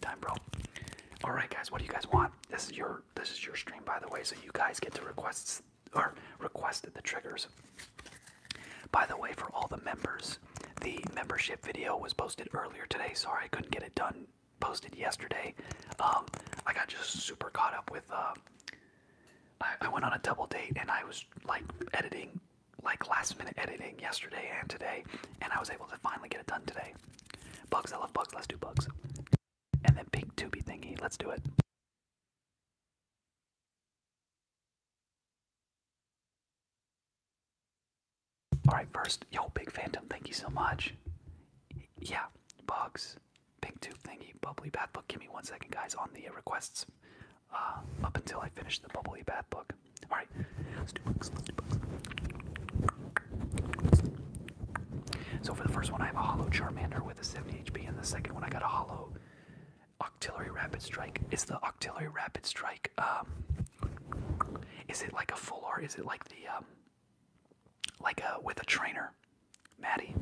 time, bro. All right, guys, what do you guys want? This is your this is your stream, by the way, so you guys get to request or requested the triggers. By the way, for all the members, the membership video was posted earlier today. Sorry, I couldn't get it done. Posted yesterday. Um, I got just super caught up with. Uh, I went on a double date and I was like editing, like last minute editing yesterday and today, and I was able to finally get it done today. Bugs, I love bugs, let's do bugs. And then big tubby thingy, let's do it. Alright, first, yo, Big Phantom, thank you so much. Yeah, bugs, big tubby thingy, bubbly bath book. Give me one second, guys, on the requests uh, up until I finish the bubbly bath book. All right, let's do books. So for the first one, I have a hollow Charmander with a 70 HP, and the second one, I got a hollow Octillery Rapid Strike. Is the Octillery Rapid Strike? Um, is it like a full or is it like the um, like a uh, with a trainer? Maddie,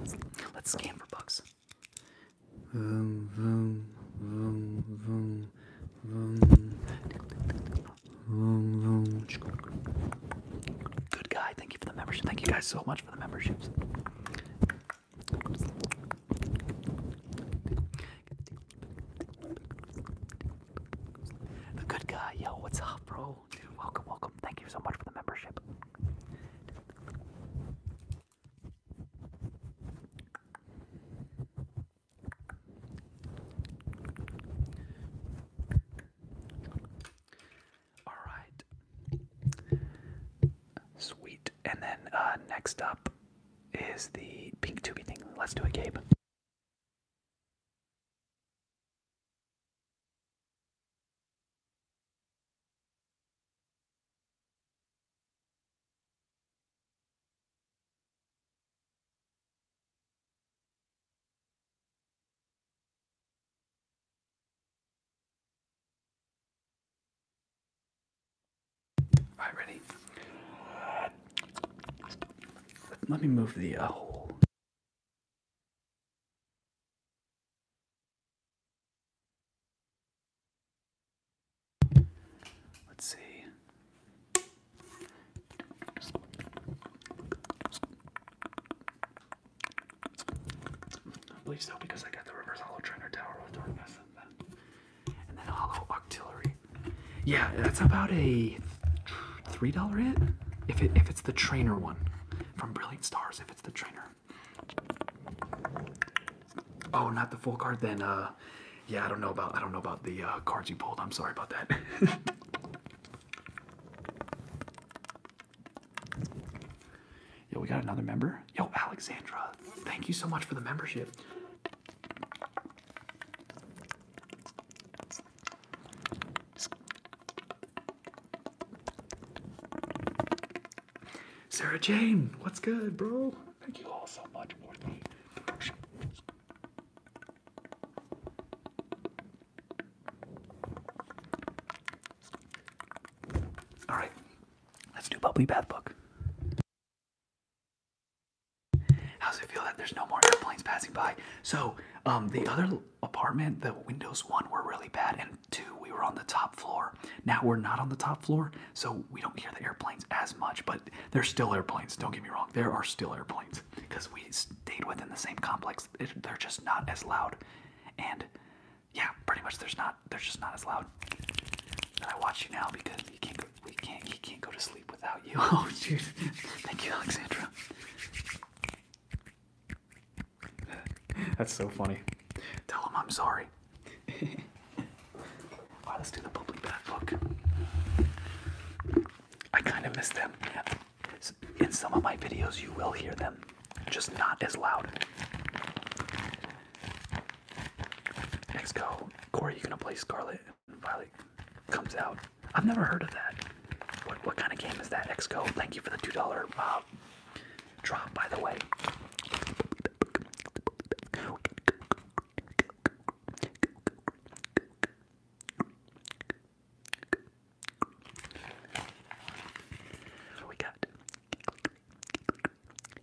let's, let's scan for bugs. Vroom, vroom, vroom, vroom. Good guy. Thank you for the membership. Thank you guys so much for the memberships. The good guy. Yo, what's up, bro? welcome, welcome. Thank you so much for the membership. All right. Sweet. And then uh, next up is the pink tubey thing. Let's do it, Gabe. Alright, ready? Let me move the uh, Let's see. I believe so because I got the Rivers hollow trainer tower with darkness and then hollow octillery. Yeah, that's about a three dollar hit if it if it's the trainer one from Brilliant Stars if it's the trainer. Oh, not the full card then. Uh, yeah, I don't know about I don't know about the uh, cards you pulled. I'm sorry about that. Yo, we got another member. Yo, Alexandra, thank you so much for the membership. Sarah Jane, what's good, bro? Thank you all so much for the membership. All right, let's do Bubbly Bath Book. How's it feel that there's no more airplanes passing by? So, um, the other apartment, the windows one were really bad, and two, we were on the top floor. Now we're not on the top floor, so we don't hear the airplanes as much, but not. There's still airplanes. Don't get me wrong. There are still airplanes because we stayed within the same complex. they're just not as loud, and yeah, pretty much there's not. They're just not as loud. And I watch you now because you can't. Go, we can't. You can't go to sleep without you. Oh, dude. Thank you, Alexandra. That's so funny. Tell him I'm sorry. right, let's do the bubbly bath book. I kind of miss them. In some of my videos, you will hear them, just not as loud. XCO, Corey, you gonna play Scarlet and Violet comes out. I've never heard of that. What, what kind of game is that? XCO. Thank you for the two dollar uh, drop, by the way we got?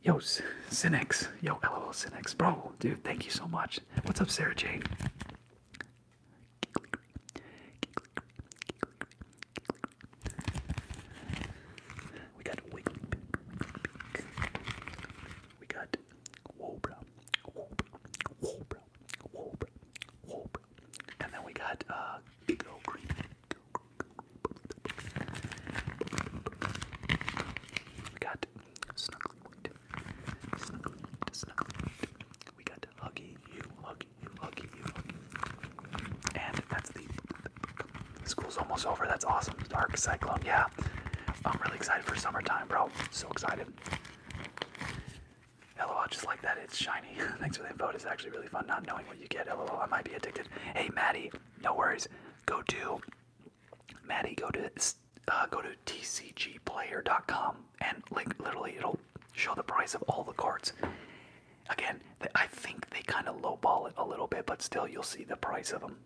Yo, Cinex. Yo, LOL Cinex. Bro, dude, thank you so much. What's up, Sarah Jane? We got we got Wobra, Wobra, Wobra, Wobra, Wobra. And then we got uh, Go Green. Go, go, go. We got Snuggly White, Snuggly White, Snuggly White. We got Huggy You, Huggy You, Huggy You, Huggy And that's the. School's almost over. That's awesome. Dark Cyclone. Yeah. I'm really excited for summertime, bro. So excited. LOL, just like that, it's shiny. Thanks for the info. It's actually really fun not knowing what you get. Hello, I might be addicted. Hey, Maddie, no worries. Go to Maddie. Go to uh, go to tcgplayer.com and like literally it'll show the price of all the cards. Again, I think they kind of lowball it a little bit, but still you'll see the price of them.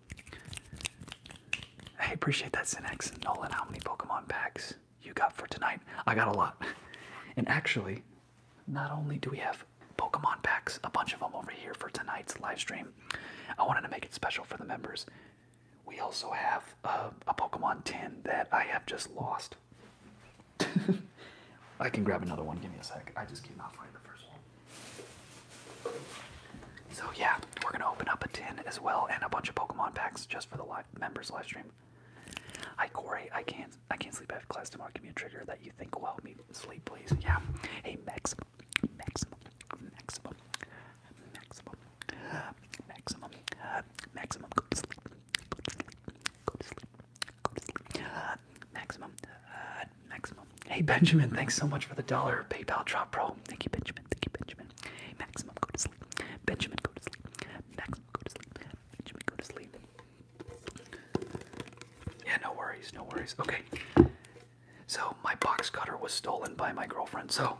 I appreciate that, Cinex. Nolan, how many Pokemon packs you got for tonight? I got a lot. And actually, not only do we have Pokemon packs, a bunch of them over here for tonight's live stream, I wanted to make it special for the members. We also have a, uh, a Pokemon tin that I have just lost. I can grab another one. Give me a sec. I just cannot find the first one. So yeah, we're gonna open up a tin as well and a bunch of Pokemon packs just for the live members live stream. Hi Corey, I can't I can't sleep after class tomorrow. Give me a trigger that you think will help me sleep, please. Yeah. Hey maximum, maximum, maximum, maximum, maximum, maximum. Go to sleep. Go to sleep. Go to sleep. Go to sleep. Uh, maximum. Uh, maximum. Hey Benjamin, thanks so much for the dollar PayPal drop, bro. Thank you, Benjamin. Thank you, Benjamin. Hey maximum. Go to sleep. Benjamin, go to sleep. Max, go to sleep. Benjamin, go to sleep. Yeah, no worries, no worries. Okay. So my box cutter was stolen by my girlfriend. So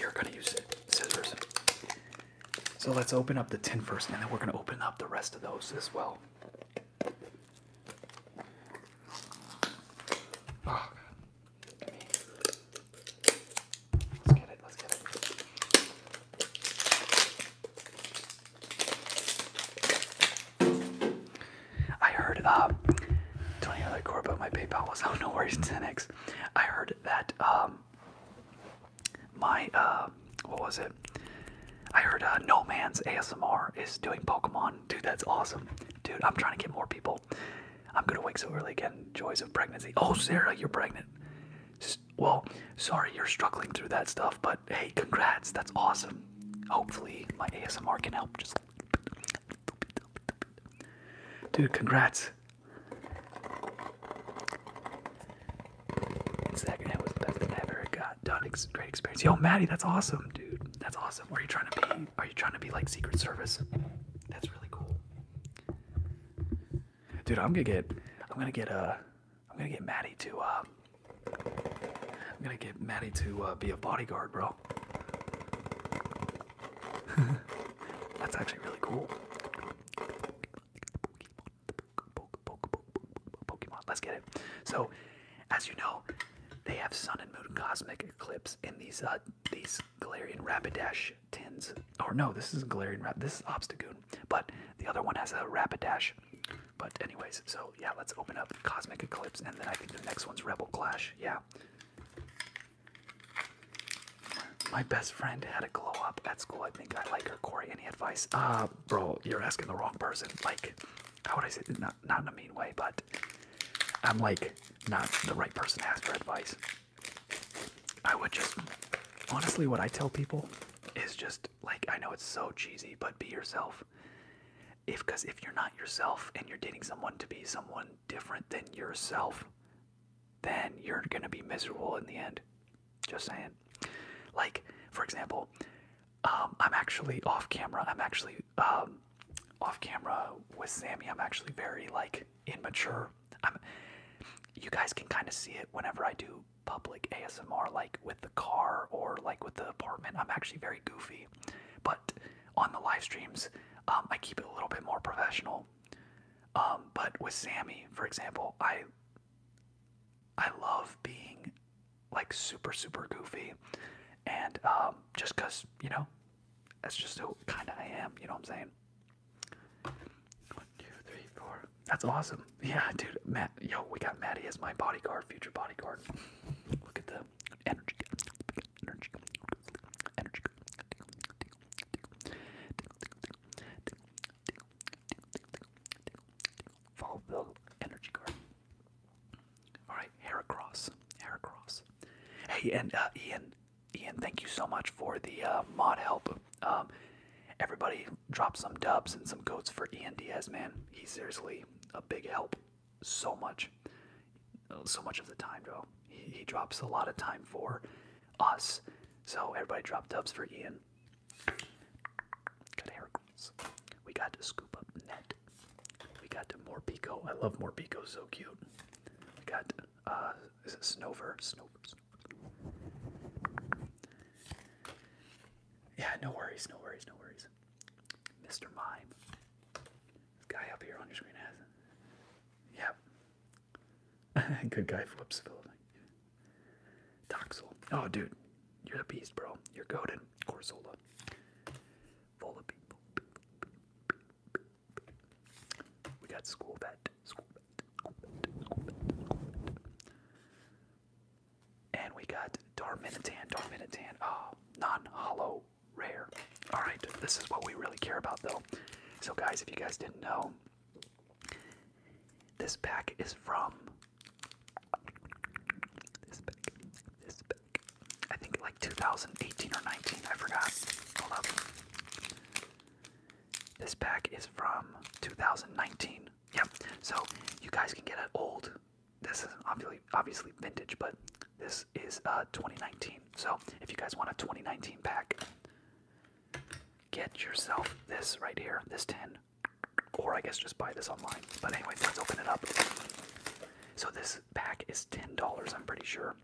you're gonna use scissors. So let's open up the tin first, and then we're gonna open up the rest of those as well. I heard, uh, 20 other but my PayPal was, oh, no worries, 10x. I heard that, um, my, uh, what was it? I heard, uh, No Man's ASMR is doing Pokemon Dude, that's awesome. Dude, I'm trying to get more people. I'm gonna wake so early again. Joys of pregnancy. Oh, Sarah, you're pregnant. well, sorry you're struggling through that stuff, but hey, congrats. That's awesome. Hopefully, my ASMR can help. Just. Dude, congrats. Second, it was the best i ever got done. Great experience. Yo, Maddie, that's awesome, dude. That's awesome. Are you trying to be? Are you trying to be like Secret Service? That's really cool, dude. I'm gonna get. I'm gonna get. Uh, I'm gonna get Maddie to. Uh, I'm gonna get Maddie to uh, be a bodyguard, bro. That's actually really cool. Pokemon, let's get it. So, as you know, they have sun and moon cosmic eclipse in these uh, these Galarian Rapidash tins. Or no, this is Glarian Rap. This is Obstagoon, but the other one has a Rapidash. But anyways, so yeah, let's open up Cosmic Eclipse, and then I think the next one's Rebel Clash. Yeah. My best friend had a glow up at school. I think I like her. Corey, any advice? Uh, bro, you're asking the wrong person. Like, how would I say? Not not in a mean way, but I'm like not the right person to ask for advice. I would just honestly what I tell people is just like I know it's so cheesy, but be yourself. If cause if you're not yourself and you're dating someone to be someone different than yourself, then you're gonna be miserable in the end. Just saying. Like, for example, um, I'm actually off camera. I'm actually um, off camera with Sammy. I'm actually very like immature. I'm. You guys can kind of see it whenever I do public ASMR, like with the car or like with the apartment. I'm actually very goofy, but on the live streams, um, I keep it a little bit more professional. but with Sammy, for example, I I love being like super super goofy, and um, just cause you know, that's just who kind of I am. You know what I'm saying? One, two, three, four. That's awesome. Yeah, dude. Matt, yo, we got Maddie as my bodyguard, future bodyguard. Look at the energy, energy, energy. Follow the energy card. All right, Heracross, Heracross. Hey, and uh, Ian, Ian, thank you so much for the uh, mod help. Um, everybody, drop some dubs and some goats for Ian Diaz, man. He's seriously a big help. So much, so much of the time, bro. He, drops a lot of time for us. So everybody, drop dubs for Ian. Got we got to scoop up Net. We got to Morpico. I love Morpico, so cute. We got uh this is it Snover? Snover, Yeah, no worries, no worries, no worries. Mr. Mime. This guy up here on your screen has Yep. Good guy flips building. Doxel. Oh dude, you're the beast, bro. You're goaded. Corsola. We got school bet, And we got Darminitan, Darminitan, oh, non-hollow rare. Alright, this is what we really care about though. So guys, if you guys didn't know, this pack is from this pack, this pack, I think like 2018 or 19, I forgot. Hold up. This pack is from 2019. Yep. So you guys can get an old. This is obviously obviously vintage, but this is uh 2019. So if you guys want a 2019 pack, get yourself this right here, this tin, or I guess just buy this online. But anyway, let's open it up. So this this pack is $10, I'm pretty sure.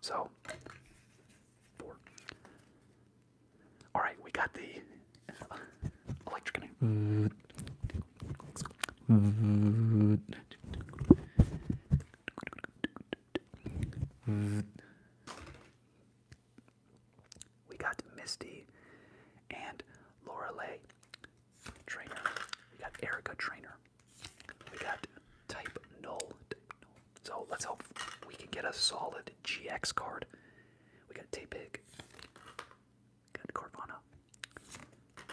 So, All right, we got the electric. We got Misty and Lorelei trainer. We got Erica trainer. We got type null. So let's hope we can get a solid GX card. We got Tapig. Got Corvana.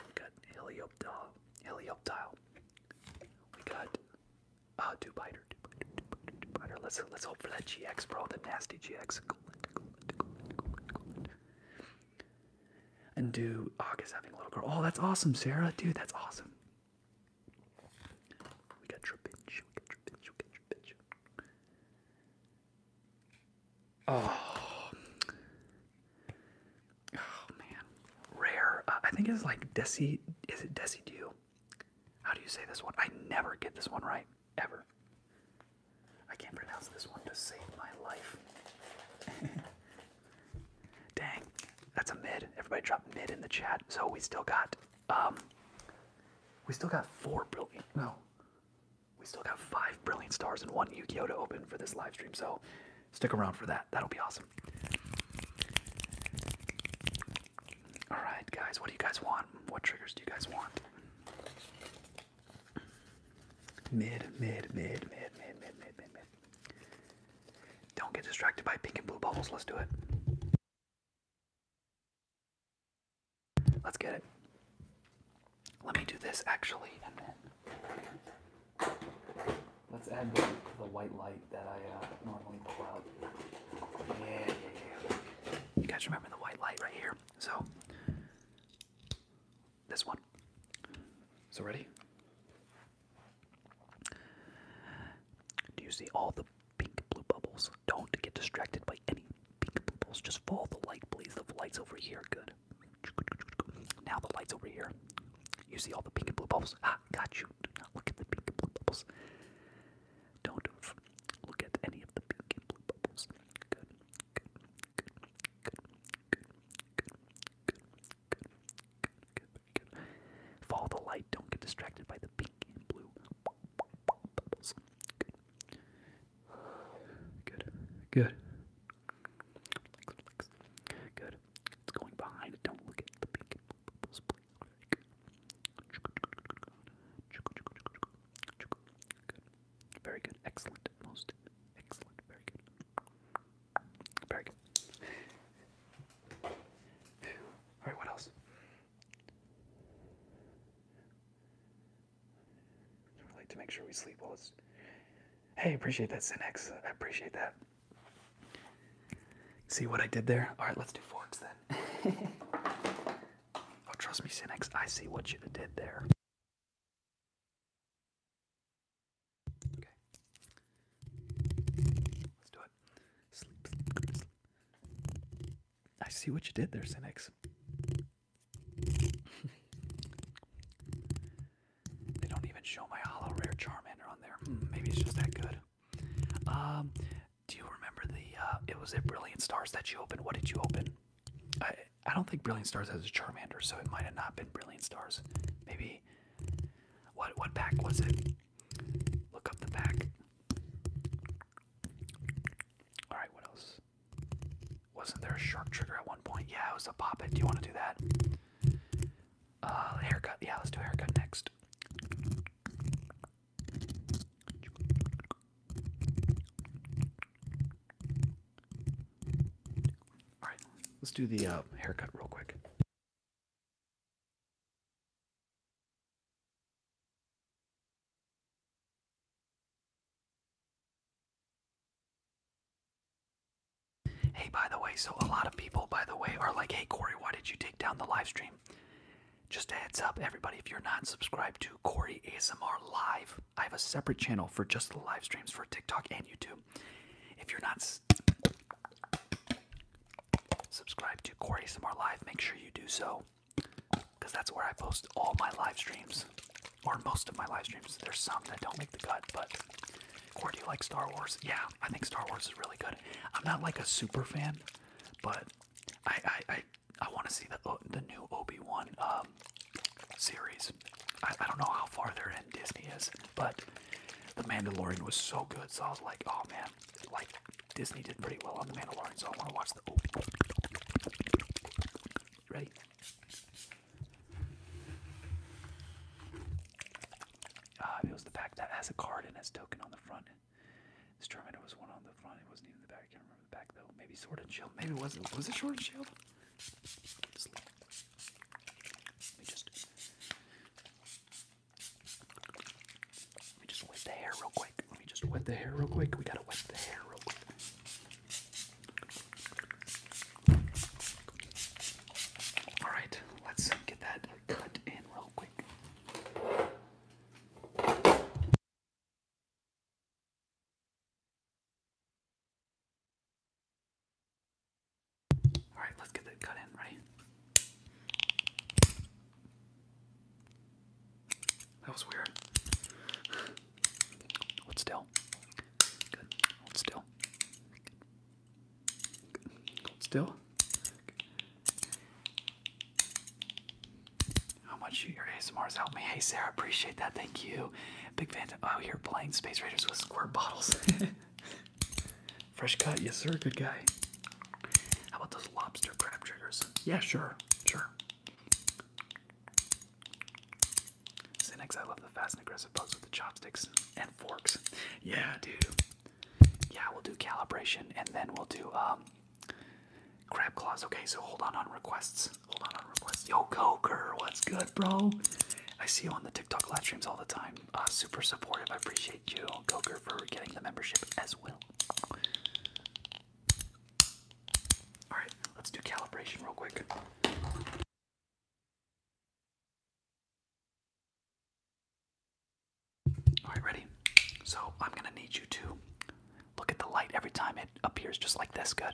We got Helioptile. We got uh Dubiter. Dubiter, Dubiter, Dubiter. Let's let's hope for that GX, bro. The nasty GX. And do August having a little girl? Oh, that's awesome, Sarah. Dude, that's awesome. We got Trapinch. We got Trapinch. We got Trapinch. Oh. Oh, man. Rare. Uh, I think it's like Desi. Is it Do How do you say this one? I never get this one right. Ever. I can't pronounce this one to save my life. Dang, that's a mid. Everybody dropped mid in the chat. So we still got um we still got four brilliant no. We still got five brilliant stars and one Yu-Gi-Oh! to open for this live stream, so stick around for that. That'll be awesome. Alright guys, what do you guys want? What triggers do you guys want? Mid, mid, mid, mid, mid, mid, mid, mid, mid. Don't get distracted by pink and blue bubbles. Let's do it. Let's get it. Let me do this actually, and then let's add the, white light that I uh, normally pull out. yeah. You guys remember the white light right here? So this one. So, ready? Do you see all the pink blue bubbles? Don't get distracted by any pink blue bubbles. Just follow the light, please. The light's over here. Good. Now the light's over here. You see all the pink and blue bubbles? Ah, got you. look at the pink and blue bubbles. Don't look at any of the pink and blue bubbles. Good. Good. Good. Good. Good. Good. Follow the light. Don't get distracted by the pink and blue bubbles. Good, good, good. It's going behind Don't look at the pink and blue bubbles. Very good. Excellent. Most excellent. Very good. Alright, what else? like to make sure we sleep well. Hey, appreciate that, Cinex. I appreciate that. See what I did there? Alright, let's do forks then. oh, trust me, Cinex. I see what you did there. Okay. Let's do it. Sleep, I see what you did there, Cynics. they don't even show my hollow rare Charmander on there. Hmm, maybe it's just that good. Um, do you remember the, uh, it was at Brilliant Stars that you opened? What did you open? I, I don't think Brilliant Stars has a Charmander, so it might have not been Brilliant Stars. Maybe what what pack was it? Look up the pack. Alright, what else? Wasn't there a shark trigger at one point? Yeah, it was a poppet. Do you want to do that? Uh, haircut. Yeah, let's do haircut next. All right, let's do the uh, haircut real quick. Hey, by the way, so a lot of people, by the way, are like, hey, Corey, why did you take down the live stream? Just a heads up, everybody, if you're not subscribed to Corey ASMR Live, I have a separate channel for just the live streams for TikTok and YouTube. If you're not subscribed to Corey Samar Live, make sure you do so because that's where I post all my live streams or most of my live streams. There's some that don't make the cut, but Corey, do you like Star Wars? Yeah, I think Star Wars is really good. I'm not like a super fan, but I I I, want to see the the new Obi Wan um, series. I, don't know how far they're in Disney is, but The Mandalorian was so good, so I was like, oh man, like Disney did pretty well on The Mandalorian, so I want to watch the. Ready? Ah, it was the pack that has a card and its token on the front. This Terminator was one on the front. It wasn't even the back. I can't remember the back though. Maybe Sword and Shield. Maybe wasn't. Was it Sword and Shield? let me just wet the hair real quick. Let me just wet the hair real quick. We gotta wet the hair real quick. All right, let's get that cut in real quick. All right, let's get that cut in, right? That was weird. Hold still. Good. Hold still. Good. Hold still. How much your ASMRs helped me. Hey Sarah, appreciate that. Thank you. Big fan. Oh, you're playing Space Raiders with squirt bottles. Fresh cut, yes sir, good guy. How about those lobster crab triggers? Yeah, sure, sure. Cynex, I love the fast and aggressive bugs with the chopsticks and forks. Yeah, dude. Yeah, we'll do calibration and then we'll do um crab claws. Okay, so hold on on requests. Hold on on requests. Yo, Coker, what's good, bro? I see you on the TikTok live streams all the time. Uh, super supportive. I appreciate you, Goker, for getting the membership as well. Alright, let's do calibration real quick. Alright, ready? So I'm gonna need you to look at the light every time it appears just like this. Good.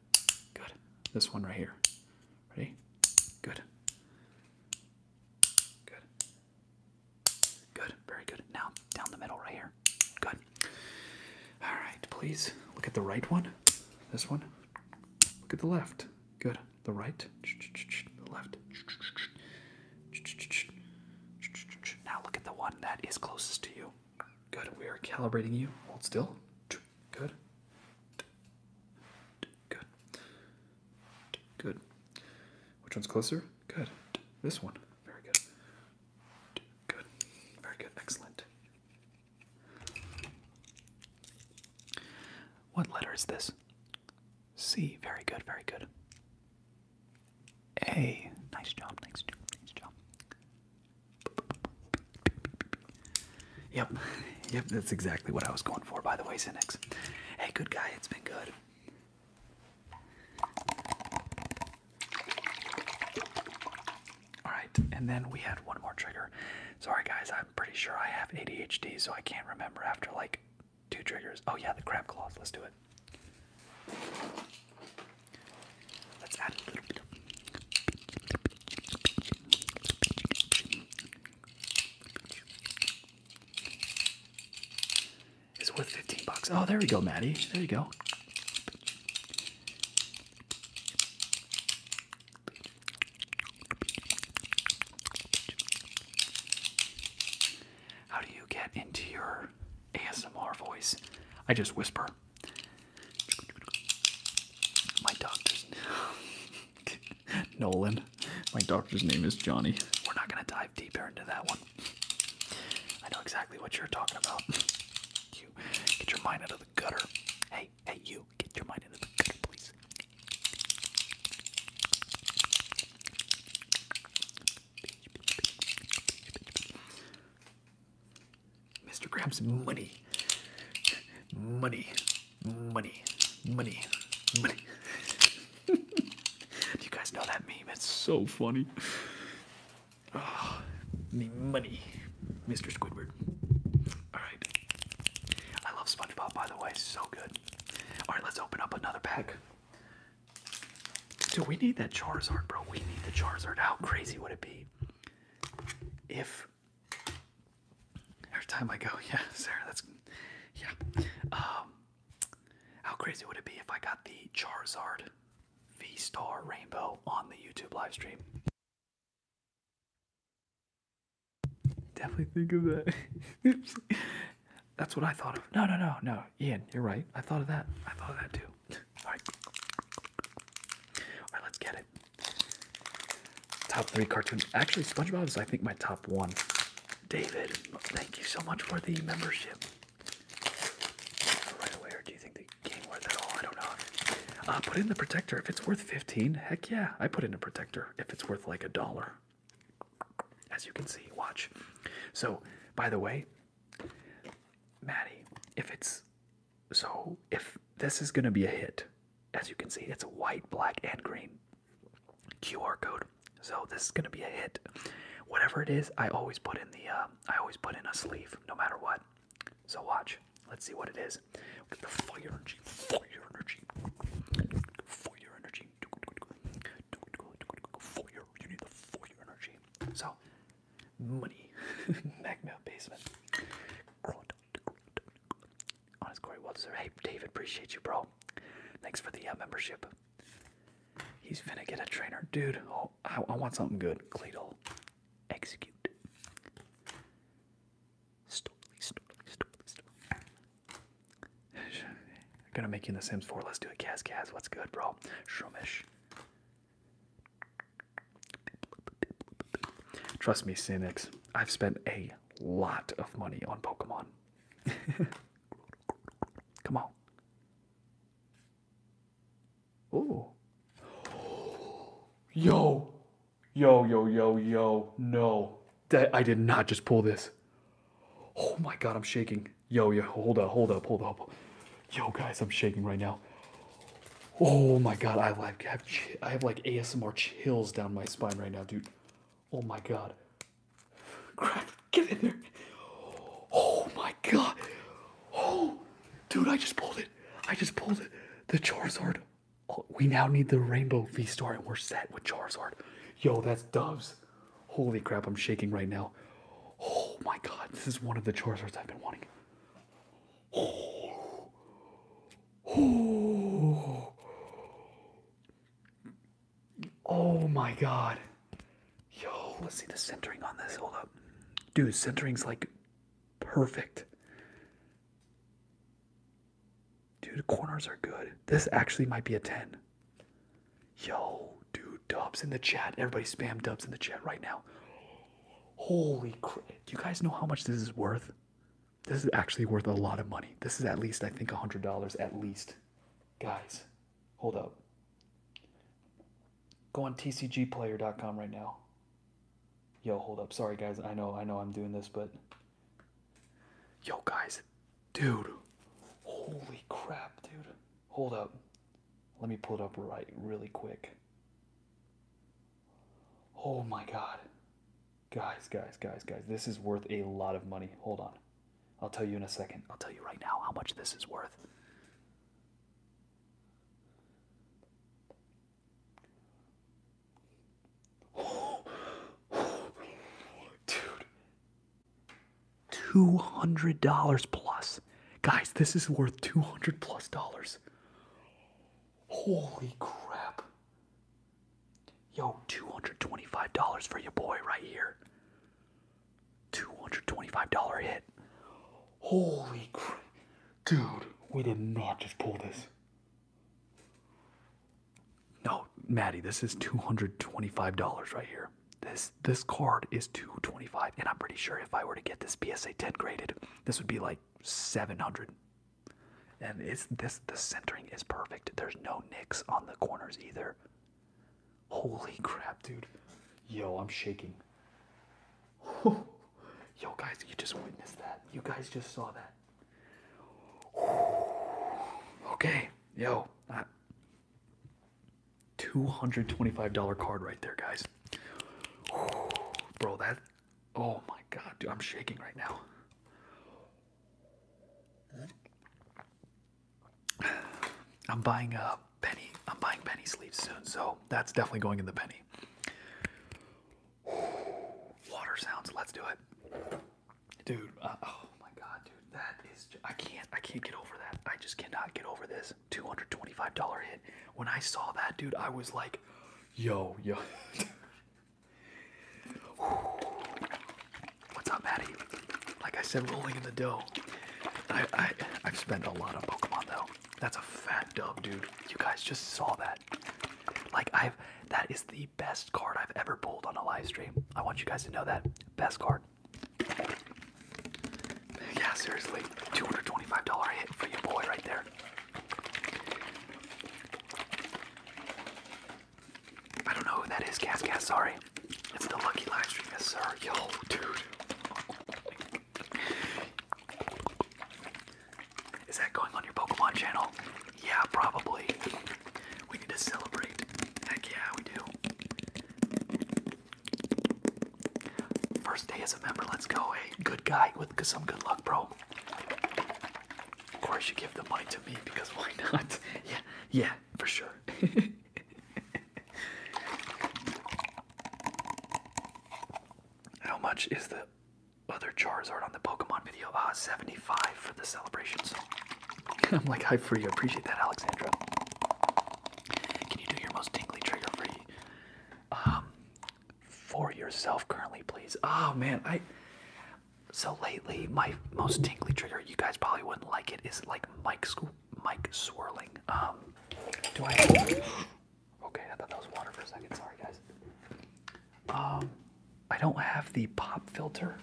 Good. This one right here. Ready? Good. Good. Good. Very good. Now, down the middle right here. Good. All right, please look at the right one. This one. Look at the left. Good. The right. The left. Now look at the one that is closest to you. Good. We are calibrating you. Hold still. Good. Good. Good. Which one's closer? Good. This one. Very good. Good. Very good. Excellent. What letter is this? C. Very good. Very good. A. Nice job. Nice job. Nice job. Yep, yep, that's exactly what I was going for, by the way, Cynics. Hey, good guy, it's been good. Alright, and then we had one more trigger. Sorry, guys, I'm pretty sure I have ADHD, so I can't remember after like two triggers. Oh, yeah, the crab claws. Let's do it. Let's add a little bit of. It's worth 15 bucks. Oh, there we go, Maddie. There you go. How do you get into your ASMR voice? I just whisper. My doctor's Nolan. My doctor's name is Johnny. We're not gonna dive deeper into that one. I know exactly what you're talking about. You get your mind out of the gutter. Hey, hey, you get your mind out of the gutter, please. Mr. Krabs money. Money. Money. Money. Money. Do you guys know that meme? It's so funny. Oh, money. Mr. Squidward. Alright. I love SpongeBob, by the way. So good. Alright, let's open up another pack. Do we need that Charizard, bro. We need the Charizard. How crazy would it be if Every time I go, yeah, Sarah, that's yeah. Um, how crazy would it be if I got the Charizard V Star Rainbow on the YouTube live stream? Definitely think of that. that's what I thought of. No, no, no, no. Ian, you're right. I thought of that. I thought of that too. All right. All right, let's get it. Top three cartoons. Actually, SpongeBob is, I think, my top one. David, thank you so much for the membership. Right away, do you think the game worth it all? I don't know. Uh, put in the protector if it's worth 15. Heck yeah, I put in a protector if it's worth like a dollar. As you can see, watch. So, by the way, Maddie, if it's so if this is going to be a hit, as you can see, it's white, black, and green QR code. So this is going to be a hit. Whatever it is, I always put in the uh, I always put in a sleeve, no matter what. So watch. Let's see what it is. Get the fire energy, fire energy, fire energy, fire. You need the fire energy. So money, magma basement. Grunt, Honest Corey Walter. Hey, David, appreciate you, bro. Thanks for the uh, membership. He's finna get a trainer, dude. Oh, I, want something good. Cleto, execute. Stop, stop, stop, stop. I'm gonna make you in the Sims 4. Let's do it, Cas Cas. What's good, bro? Schromish. Trust me, cynics, I've spent a lot of money on Pokemon. Come on. Ooh. Yo. Yo, yo, yo, yo. No. That, I did not just pull this. Oh my god, I'm shaking. Yo, yo, hold up, hold up, hold up. Yo, guys, I'm shaking right now. Oh my god, I have I have like ASMR chills down my spine right now, dude. Oh my god. Crap, get in there. Oh my god. Oh, dude, I just pulled it. I just pulled it. The Charizard. Oh, we now need the Rainbow V-Star and we're set with Charizard. Yo, that's doves. Holy crap, I'm shaking right now. Oh my god, this is one of the Charizards I've been wanting. Oh. Oh, my god. Yo, let's see the centering on this. Hold up. Dude, centering's like perfect. Dude, corners are good. This actually might be a 10. Yo, dude, dubs in the chat. Everybody spam dubs in the chat right now. Holy crap. Do you guys know how much this is worth? This is actually worth a lot of money. This is at least, I think, $100 at least. Guys, hold up. Go on tcgplayer.com right now. Yo, hold up. Sorry, guys. I know, I know I'm doing this, but. Yo, guys. Dude. Holy crap, dude. Hold up. Let me pull it up right really quick. Oh my god. Guys, guys, guys, guys, this is worth a lot of money. Hold on. I'll tell you in a second. I'll tell you right now how much this is worth. Dude. $200 plus. Guys, this is worth 200 plus dollars. Holy crap. Yo, $225 for your boy right here. $225 hit. Holy crap. Dude, we did not just pull this. No, Maddie, this is $225 right here. This this card is 225 and I'm pretty sure if I were to get this PSA 10 graded, this would be like 700 and it's this the centering is perfect. There's no nicks on the corners either. Holy crap, dude. Yo, I'm shaking. Yo guys, you just witnessed that. You guys just saw that. Okay, yo, that $225 card right there, guys. Bro, that Oh my god, dude, I'm shaking right now. I'm buying a penny. I'm buying penny sleeves soon, so that's definitely going in the penny. Water sounds. Let's do it, dude. Uh, oh my god, dude, that is. I can't. I can't get over that. I just cannot get over this two hundred twenty-five dollar hit. When I saw that, dude, I was like, "Yo, yo." What's up, Maddie? Like I said, rolling in the dough. I, I, have spent a lot of Pokemon though. That's a fat dub, dude. You guys just saw that. Like I've, that is the best card I've ever pulled on a live stream. I want you guys to know that. Best card. Yeah, seriously, $225 hit for you, boy right there. I don't know who that is, Gas Gas, sorry. It's the Lucky Livestream, sir. Yo, dude. Is that going on your Pokemon channel? Yeah, probably. We need to celebrate. Heck yeah, we do. First day as a member, let's go. a eh? good guy with some good luck, bro. Of course, you give the money to me because why not? Yeah, yeah, for sure. How much is the other Charizard on the Pokemon video? Ah, 75 for the celebration. So I'm like, hi for you. Appreciate that, Alexandra. Can you do your most tingly trigger for you? Um, for yourself currently, please. Oh man, I so lately, my most tingly trigger, you guys probably wouldn't like it, is like mic mic swirling. Um, do I? Okay, I thought that was water for a second. Sorry, guys. Um, I don't have the pop filter.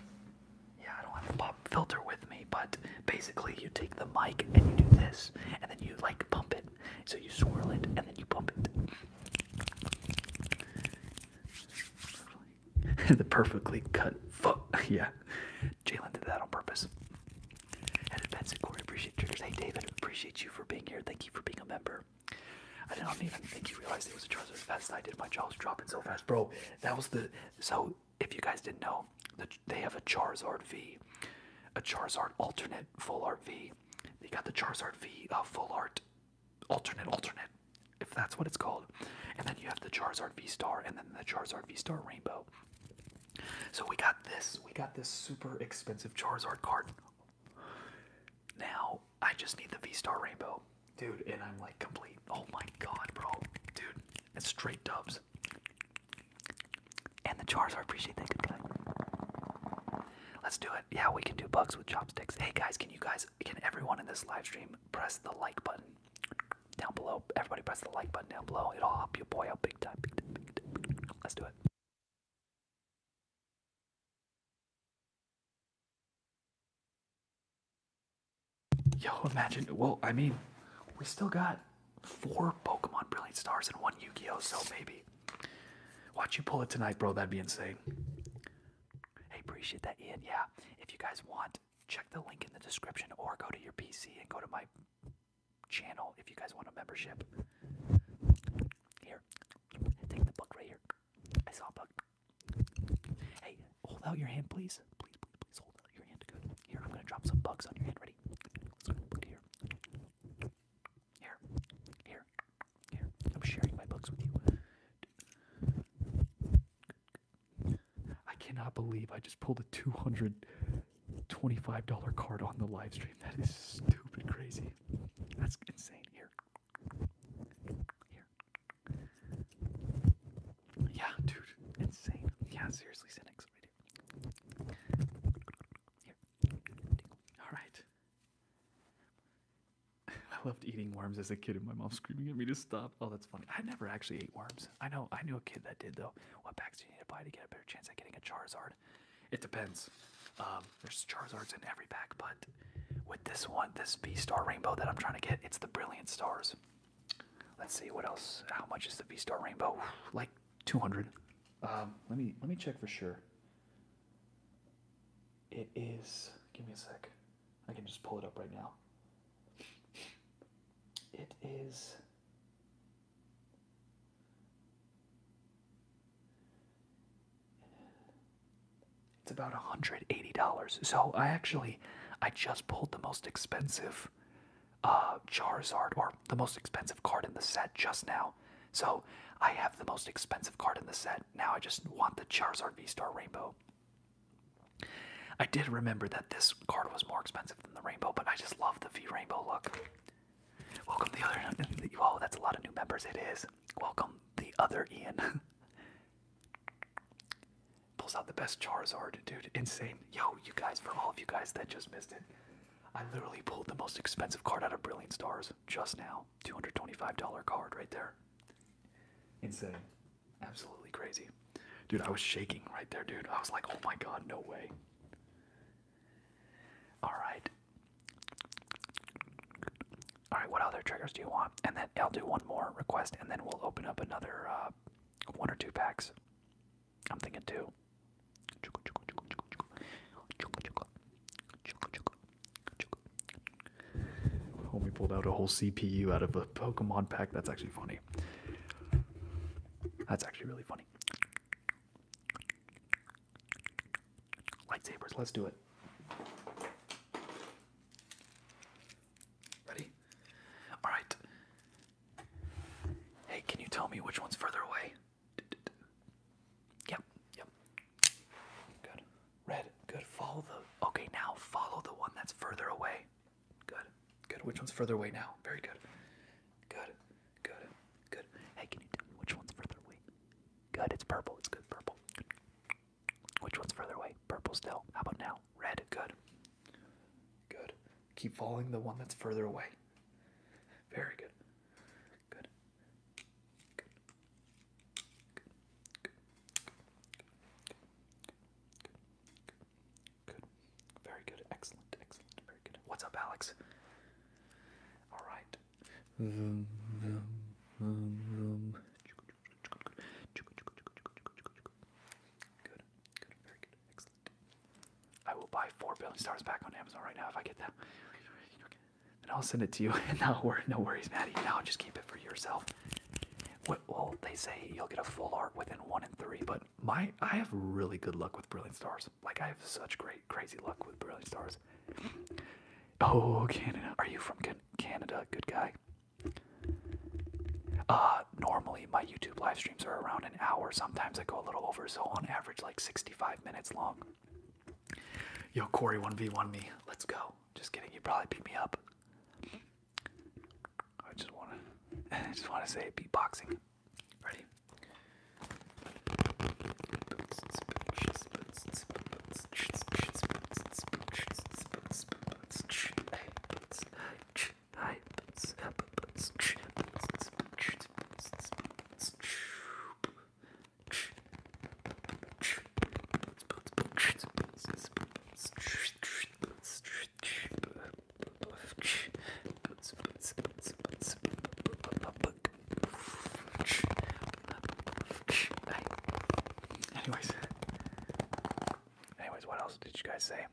Yeah, I don't have the pop filter with me. But basically, you take the mic and you do this, and then you like pump it. So you swirl it, and then you pump it. the perfectly cut foot. yeah. Jalen did that on purpose. And Benson Corey, appreciate triggers. Hey David, appreciate you for being here. Thank you for being a member. I did not even think you realized it was a Charizard as fast as I did. My jaw dropping so fast. Bro, that was the so if you guys didn't know, the, they have a Charizard V, a Charizard alternate full art V. They got the Charizard V of uh, full art alternate alternate if that's what it's called and then you have the charizard v star and then the charizard v star rainbow so we got this we got this super expensive charizard card now i just need the v star rainbow dude and i'm like complete oh my god bro dude it's straight dubs and the charizard appreciate that good play let's do it yeah we can do bugs with chopsticks hey guys can you guys can everyone in this live stream press the like button down below? Everybody press the like button down below. It'll help you, boy out big time. Big time, big time, big time. Let's do it. Yo, imagine. Well, I mean, we still got four Pokemon Brilliant Stars and one Yu Gi Oh! So maybe. Watch you pull it tonight, bro. That'd be insane. Hey, appreciate that, Ian. Yeah, if you guys want, check the link in the description or go to your PC and go to my channel if you guys want a membership. Here, take the book right here. I saw a book. Hey, hold out your hand, please. Please, hold out your hand. Good. Here, I'm gonna drop some bugs on your hand. Ready? here. Here. Here. I'm sharing my books with you. I cannot believe I just pulled a $225 card on the live stream. That is stupid crazy. That's insane. Here. Here. Yeah, dude. Insane. Yeah, seriously, cynics. All right. I loved eating worms as a kid, and my mom screaming at me to stop. Oh, that's funny. I never actually ate worms. I know. I knew a kid that did though. What packs do you need to buy to get a better chance at getting a Charizard? It depends. Um, there's Charizards in every pack, but with this one, this B Star Rainbow that I'm trying to get, it's the Brilliant Stars. Let's see what else. How much is the B Star Rainbow? Like 200. Um, let me let me check for sure. It is. Give me a sec. I can just pull it up right now. It is. It's about $180. So I actually, I just pulled the most expensive uh, Charizard or the most expensive card in the set just now. So I have the most expensive card in the set. Now I just want the Charizard V-Star Rainbow. I did remember that this card was more expensive than the Rainbow, but I just love the V-Rainbow look. Welcome the other... Whoa, that's a lot of new members. It is. Welcome the other Ian. Pulls out the best Charizard, dude. Insane. Yo, you guys, for all of you guys that just missed it, I literally pulled the most expensive card out of Brilliant Stars just now. $225 card right there. Insane. Absolutely crazy. Dude, I was shaking right there, dude. I was like, oh my god, no way. Alright. Alright, what other triggers do you want? And then I'll do one more request and then we'll open up another uh, one or two packs. I'm thinking two. When we pulled out a whole CPU out of a Pokemon pack. That's actually funny. That's actually really funny. Lightsabers, let's do it. Ready? Alright. Hey, can you tell me which one's further away? Yep, yep. Good. Red, good. Follow the. Okay, now follow the one that's further away. Good, good. Which one's further away now? Very good. Good, good, good. Hey, can you do? me which one's further away? Good, it's purple. It's good, purple. Which one's further away? Purple still. How about now? Red, good. Good. Keep following the one that's further away. Very good. Good. Good. Very good. Excellent. Excellent. Very good. What's up, Alex? All right. Good. Good. Very good. Excellent. I will buy four billion stars back on Amazon right now if I get that and I'll send it to you. no, worry, no worries, Maddie. Now just keep it for yourself. Well, they say you'll get a full art within one and three, but my I have really good luck with Brilliant Stars. Like I have such great, crazy luck with Brilliant Stars. Oh, Canada. Are you from Canada? Good guy. Uh, normally my YouTube live streams are around an hour. Sometimes I go a little over, so on average, like 65 minutes long. Yo, Corey 1v1 me. Let's go. Just kidding. You probably beat me up. I just wanna, I just wanna say beatboxing. Ready? Anyways, anyways, what else did you guys say?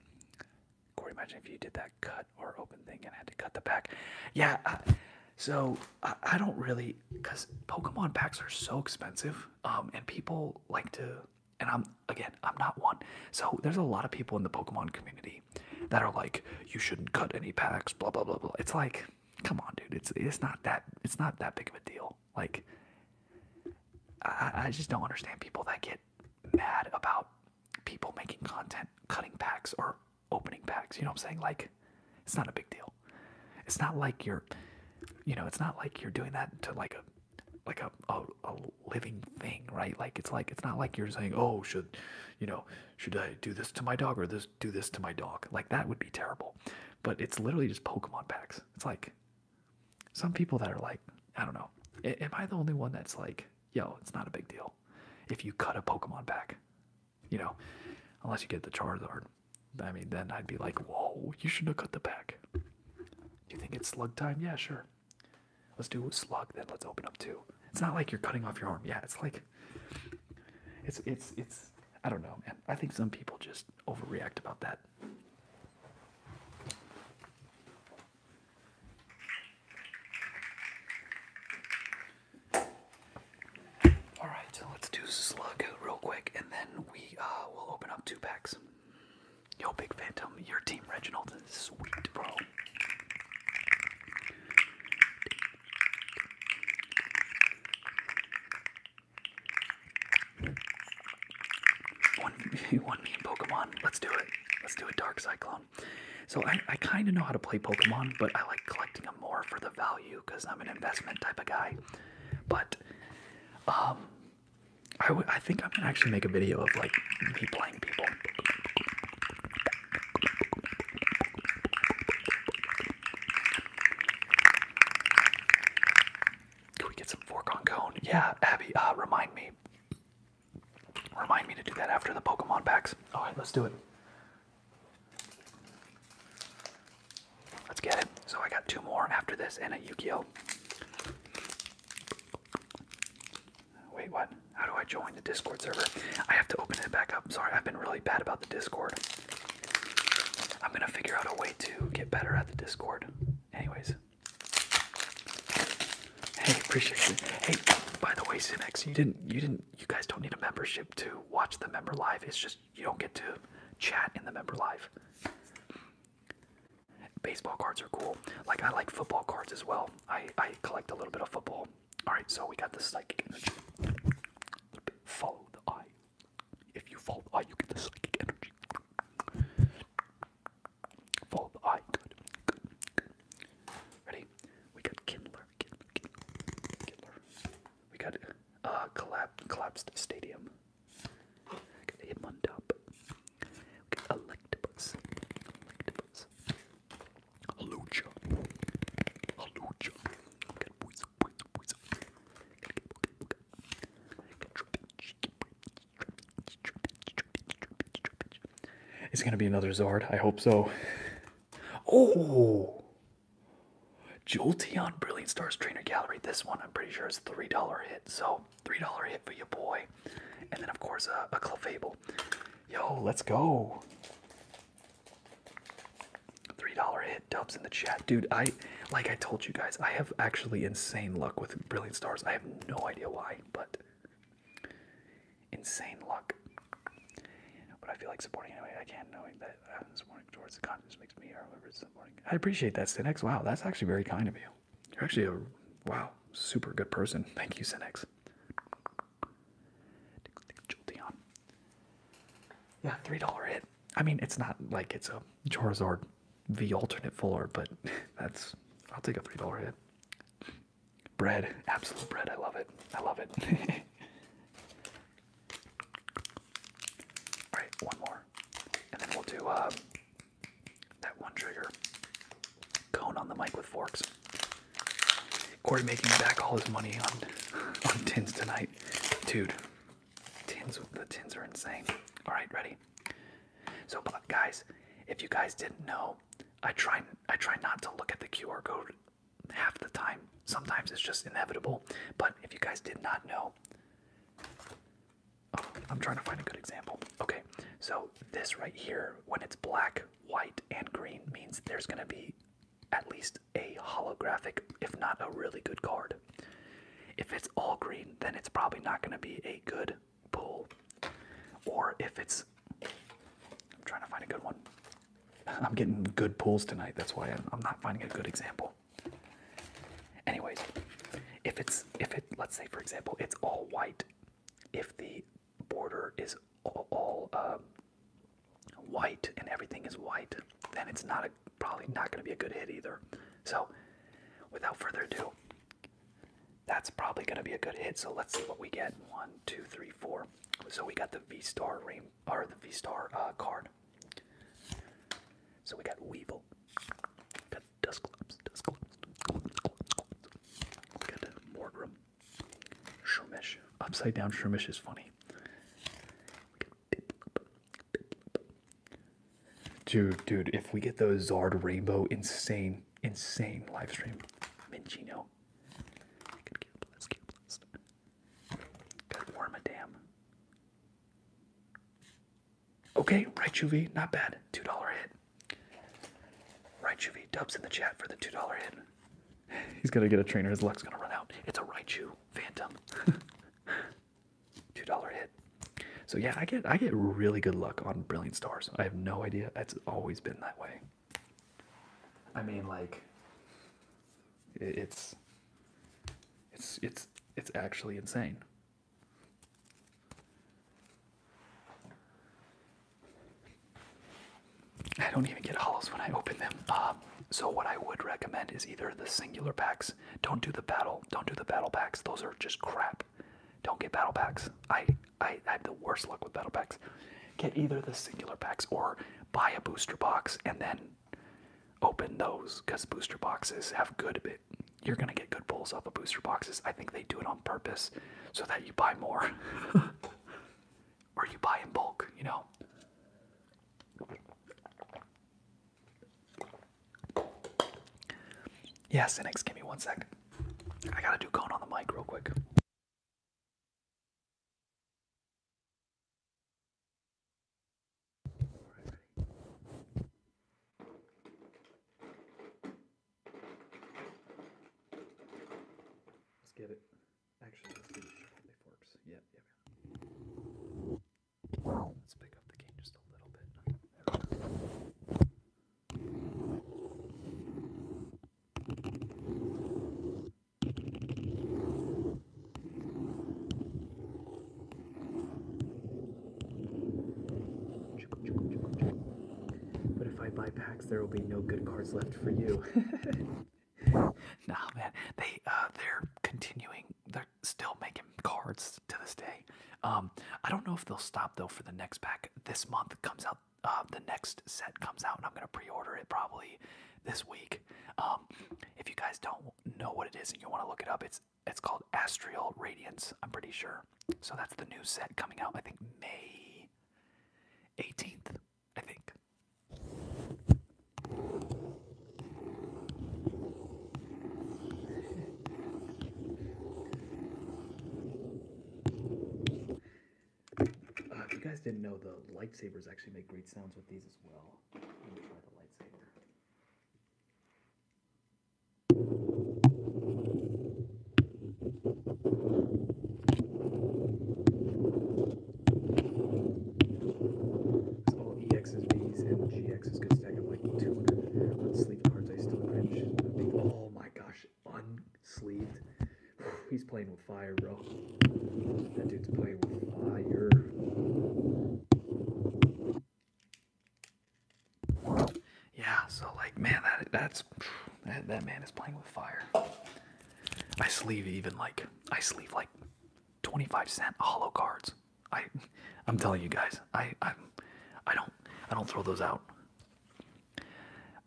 Corey, imagine if you did that cut or open thing and had to cut the back. Yeah, uh, so I don't really, because Pokemon packs are so expensive um, and people like to and i'm again i'm not one so there's a lot of people in the pokemon community that are like you shouldn't cut any packs blah blah blah blah it's like come on dude it's it's not that it's not that big of a deal like i, I just don't understand people that get mad about people making content cutting packs or opening packs you know what i'm saying like it's not a big deal it's not like you're, you know, it's not like you're doing that to like a, like a, a, living thing, right? Like it's like it's not like you're saying, oh, should, you know, should I do this to my dog or this do this to my dog? Like that would be terrible. But it's literally just Pokemon packs. It's like some people that are like, I don't know. Am I the only one that's like, yo, it's not a big deal if you cut a Pokemon pack, you know, unless you get the Charizard. I mean, then I'd be like, whoa, you should have cut the pack. you think it's slug time? Yeah, sure. Let's do slug, then let's open up too. It's not like you're cutting off your arm. Yeah, it's like, it's, it's, it's, I don't know, I think some people just overreact about that. All right, so let's do slug real quick, and then we uh, will open up two packs. Yo, Big Phantom, your team, Reginald, is sweet, bro. One, one mean Pokemon. Let's do it. Let's do it, Dark Cyclone. So I kind of know how to play Pokemon, but I like collecting them more for the value because I'm an investment type of guy. But um, I, w I think I'm gonna actually make a video of like me playing people. Can we get some fork on cone? Yeah, Abby, uh, remind me. Remind me to do that after the Pokemon packs. Alright, let's do it. Let's get it. So I got two more after this and a yu Wait, what? How do I join the Discord server? I have to open it back up. Sorry, I've been really bad about the Discord. I'm gonna figure out a way to get better at the Discord. Anyways. Hey, appreciate it. Hey, by the way, Cinex, you didn't you didn't you guys don't need a membership to watch the member live. It's just you don't get to chat in the member live. Baseball cards are cool. Like I like football cards as well. I I collect a little bit of football. All right, so we got the psychic energy. Follow the eye. If you follow the eye, you get the psychic energy. Follow the eye. Good. Ready? We got Kindler. We got uh collapsed collapsed stadium. Get him on top. Get Electabuzz. Electabuzz. Halucha. Halucha. Get Weasel, Weasel, Weasel. Get Trapinch. Trapinch, Trapinch, Trapinch, Trapinch, Trapinch. It's gonna be another Zard. I hope so. Oh! Jolteon Brilliant Stars Trainer Gallery. This one I'm pretty sure is $3 hit. So $3 hit for your boy. And then of course uh, a Clefable. Yo, let's go. $3 hit dubs in the chat. Dude, I like I told you guys, I have actually insane luck with Brilliant Stars. I have no idea why, but insane luck. But I feel like supporting anyway. I can't knowing that uh, this morning towards the just makes me, or whoever it's the morning. I appreciate that, Sinex. Wow, that's actually very kind of you. You're actually a wow, super good person. Thank you, Sinex. Yeah, three dollar hit. I mean, it's not like it's a Charizard V alternate fuller, but that's I'll take a three dollar hit. Bread, absolute bread. I love it. I love it. All right, one more, and then we'll do uh, that one trigger cone on the mic with forks. Corey making back all his money on on tins tonight, dude. Tins, the tins are insane. All right, ready. So, but guys, if you guys didn't know, I try I try not to look at the QR code half the time. Sometimes it's just inevitable. But if you guys did not know, Oh, I'm trying to find a good example. Okay, so this right here, when it's black, white, and green, means there's going to be at least a holographic, if not a really good card. If it's all green, then it's probably not going to be a good pull. Or if it's. I'm trying to find a good one. I'm getting good pulls tonight, that's why I'm not finding a good example. Anyways, if it's if it let's say for example it's all white, if the border is all, um, white and everything is white, then it's not a, probably not going to be a good hit either. So, without further ado, that's probably going to be a good hit. So let's see what we get. One, two, three, four. So we got the V Star ring or the V Star uh, card. Horn. So we got Weevil. We got Dusclops, Dusclops, We got uh, Morgrim. Shroomish. Upside down Shroomish is funny. We got Piplup. Piplup. Dude, dude, if we get those Zard Rainbow, insane, insane live stream. Mingino. Got Wormadam. Okay, right Raichuvi, not bad. $2 hit. Right Raichuvi dubs in the chat for the $2 hit. He's gonna get a trainer, his luck's gonna run out. It's a right Raichu Phantom. $2 hit. So yeah, I get I get really good luck on Brilliant Stars. I have no idea. It's always been that way. I mean like it's it's it's it's actually insane. I don't even get hollows when I open them. Uh, so what I would recommend is either the singular packs. Don't do the battle. Don't do the battle packs. Those are just crap. Don't get battle packs. I I, I the worst luck with battle packs. Get either the singular packs or buy a booster box and then open those because booster boxes have good You're gonna get good pulls off of booster boxes. I think they do it on purpose so that you buy more, or you buy in bulk. You know. Yeah, Cynics, give me one sec. I gotta do cone on the mic real quick. Let's get it. Actually, let's do the forks. Yeah, yeah, yeah. Let's pick up the cane just a little bit. There we go. But if I buy packs, there will be no good cards left for you. nah, man, they uh, they're continuing. They're still making cards to this day. Um, I don't know if they'll stop though for the next pack. This month comes out. Uh, the next set comes out, and I'm gonna pre-order it probably this week. Um, if you guys don't know what it is and you want to look it up, it's it's called Astral Radiance, I'm pretty sure. So that's the new set coming out, I think May 18th, I think. Uh, if you guys didn't know, the lightsabers actually make great sounds with these as well. Let me try the lightsaber all EXs, Bs, and GXs could stack up like 200 unsleeved cards. I still cringe. Oh my gosh, unsleeved. He's playing with fire, bro. That dude's playing with fire. Yeah, so like man, that that's that, that man is playing with fire. I sleeve even like I sleeve like 25 cent hollow cards. I I'm telling you guys, I I'm I I don't throw those out.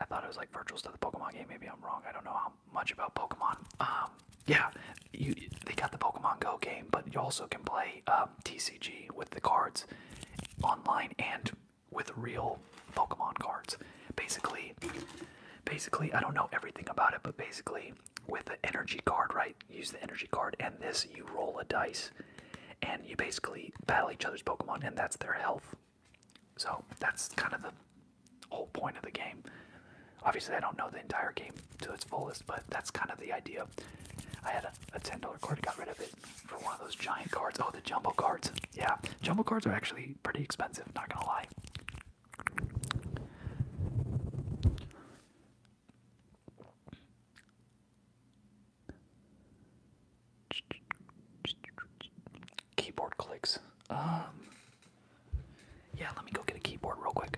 I thought it was like virtuals to the Pokemon game. Maybe I'm wrong. I don't know how much about Pokemon. Um, yeah, you, they got the Pokemon Go game, but you also can play um, um, TCG with the cards online and with real Pokemon cards. Basically, basically, I don't know everything about it, but basically, with the energy card, right? Use the energy card, and this you roll a dice, and you basically battle each other's Pokemon, and that's their health. So that's kind of the whole point of the game. Obviously, I don't know the entire game to its fullest, but that's kind of the idea. I had a ten dollar card. Got rid of it for one of those giant cards. Oh, the jumbo cards. Yeah, jumbo cards are actually pretty expensive. Not gonna lie. Keyboard clicks. Um. Yeah, let me go get a keyboard real quick.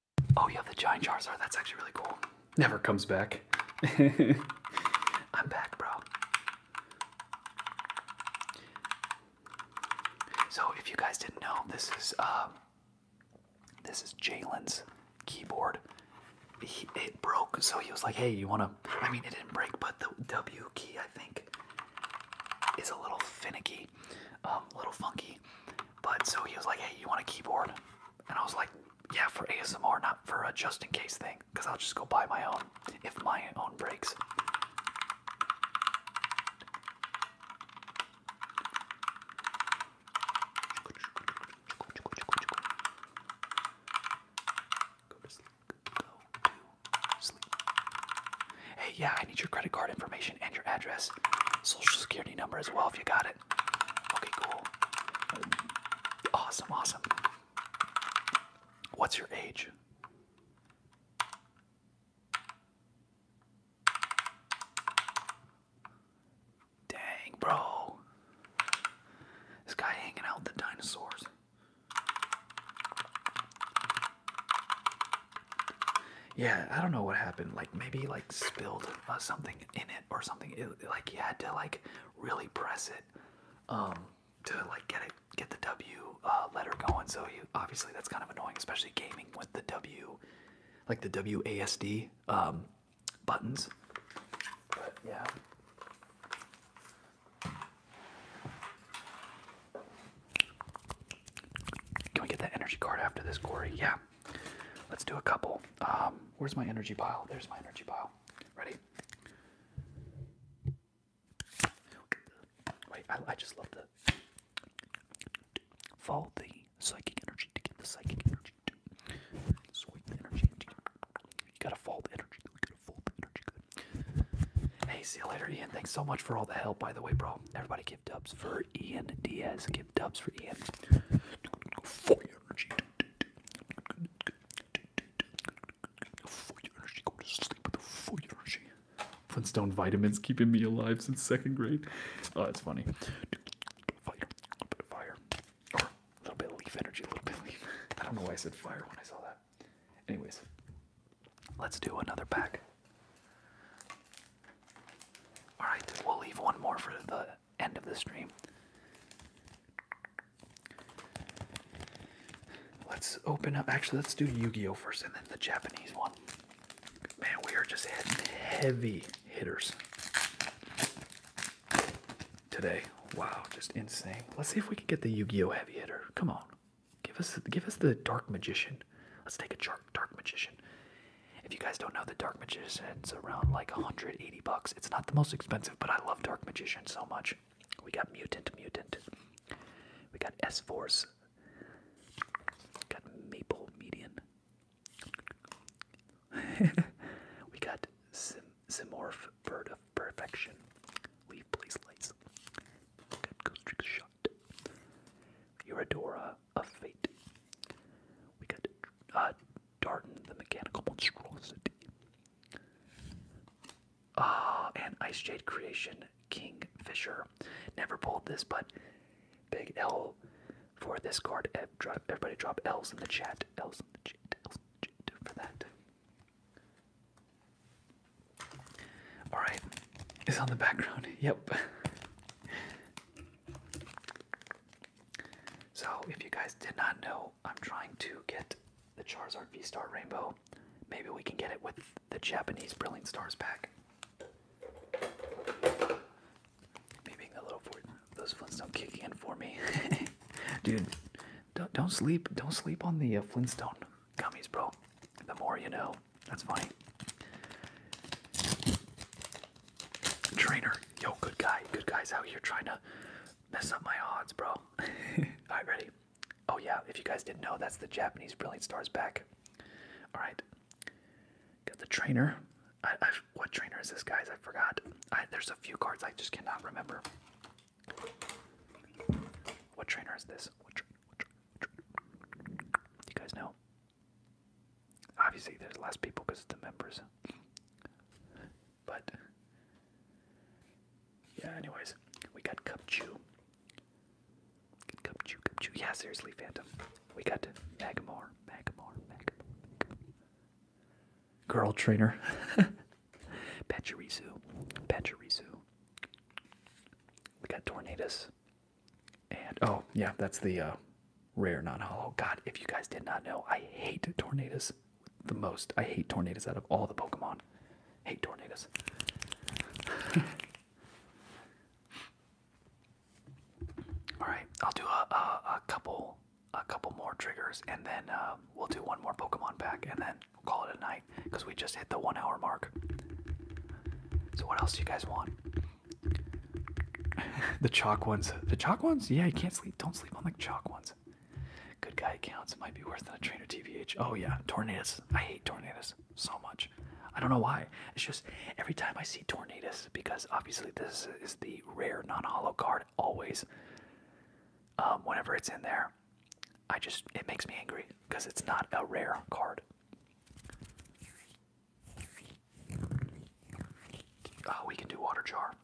Oh yeah, the giant Charizard. That's actually really cool. Never comes back. I'm back, bro. So if you guys didn't know, this is uh, this is Jalen's keyboard. it broke, so he was like, "Hey, you wanna?" I mean, it didn't break, but the W key, I think, is a little finicky, a um, little funky. But so he was like, "Hey, you want a keyboard?" And I was like, yeah, for ASMR, not for a just in case thing, because I'll just go buy my own if my own breaks. Hey, yeah, I need your credit card information and your address, social security number as well if you got it. Okay, cool. Awesome, awesome. What's your age? Dang, bro. This guy hanging out with the dinosaurs. Yeah, I don't know what happened. Like maybe like spilled uh, something in it or something. like you had to like really press it um, to like get it, get the W uh, letter going. So you obviously that's kind of annoying, especially gaming with the W, like the WASD um, buttons. But yeah. Can we get that energy card after this, Corey? Yeah. Let's do a couple. Um, where's my energy pile? There's my energy pile. Ready? Wait, I, just love the. Follow the psychic energy to get the psychic energy. You gotta fold the energy. You gotta fold the energy. Hey, see you later, Ian. Thanks so much for all the help, by the way, bro. Everybody give dubs for Ian Diaz. Give dubs for Ian. For energy, go to sleep with the full energy. Flintstone vitamins keeping me alive since second grade. Oh, that's funny. Fire, a little bit of leaf energy, a little bit I don't know why I said fire when I saw that. Anyways, let's do another pack. All right, we'll leave one more for the end of the stream. Let's open up. Actually, let's do Yu Gi Oh! first and then the Japanese one. Man, we are just heavy hitters today. Wow, just insane. Let's see if we can get the Yu Gi Oh! heavy hitter. Come on. Give us, give us the Dark Magician. Let's take a dark, dark Magician. If you guys don't know, the Dark Magician's around like 180 bucks. It's not the most expensive, but I love Dark Magician so much. We got Mutant Mutant. We got S Force. We Got Maple Median. we got Sim Bird of Perfection. Leave place lights. We got Ghostrix Shot. Eurodora of Fate. We got uh, Darton the Mechanical Monstrosity. Ah, uh, and Ice Jade Creation Kingfisher. Never pulled this, but big L for this card. Everybody drop L's in the chat. L's in the chat. L's in the chat for that. Alright, is on the background. Yep. so, if you guys did not know, I'm trying to get the Charizard V Star Rainbow. Maybe we can get it with the Japanese Brilliant Stars pack. Maybe a little for those Flintstone kicking in for me, dude. Don't don't sleep. Don't sleep on the uh, Flintstone gummies, bro. The more you know. That's funny. Trainer, yo, good guy, good guys out here trying to mess up my odds, bro. Alright, ready? Oh, yeah, if you guys didn't know, that's the Japanese Brilliant Stars back. Alright, got the trainer. I, I, what trainer is this, guys? I forgot. I, there's a few cards I just cannot remember. What trainer is this? What tra what tra what tra you guys know? Obviously, there's less people because it's the members. But yeah, anyways, we got Cup Chew. Good Cup Chew, Cup Chew. Yeah, seriously, Phantom. We got Magamore, Magamore, Magamore. Girl Trainer. Pachirisu, Pachirisu. We got Tornadoes. And, oh, yeah, that's the, uh, rare non-hollow. God, if you guys did not know, I hate tornadoes the most. I hate tornadoes out of all the Pokemon. Hate tornadoes. all right, I'll do a, a, couple a couple more triggers, and then uh, we'll do one more Pokemon pack, and then we'll call it a night because we just hit the one hour mark. So what else do you guys want? the chalk ones. The chalk ones? Yeah, you can't sleep. Don't sleep on the chalk ones. Good guy accounts might be worse than a trainer TVH. Oh yeah, tornadoes. I hate tornadoes so much. I don't know why. It's just every time I see tornadoes, because obviously this is the rare non-hollow card always. Um, whenever it's in there, I just it makes me angry because it's not a rare card. Oh, we can do water jar.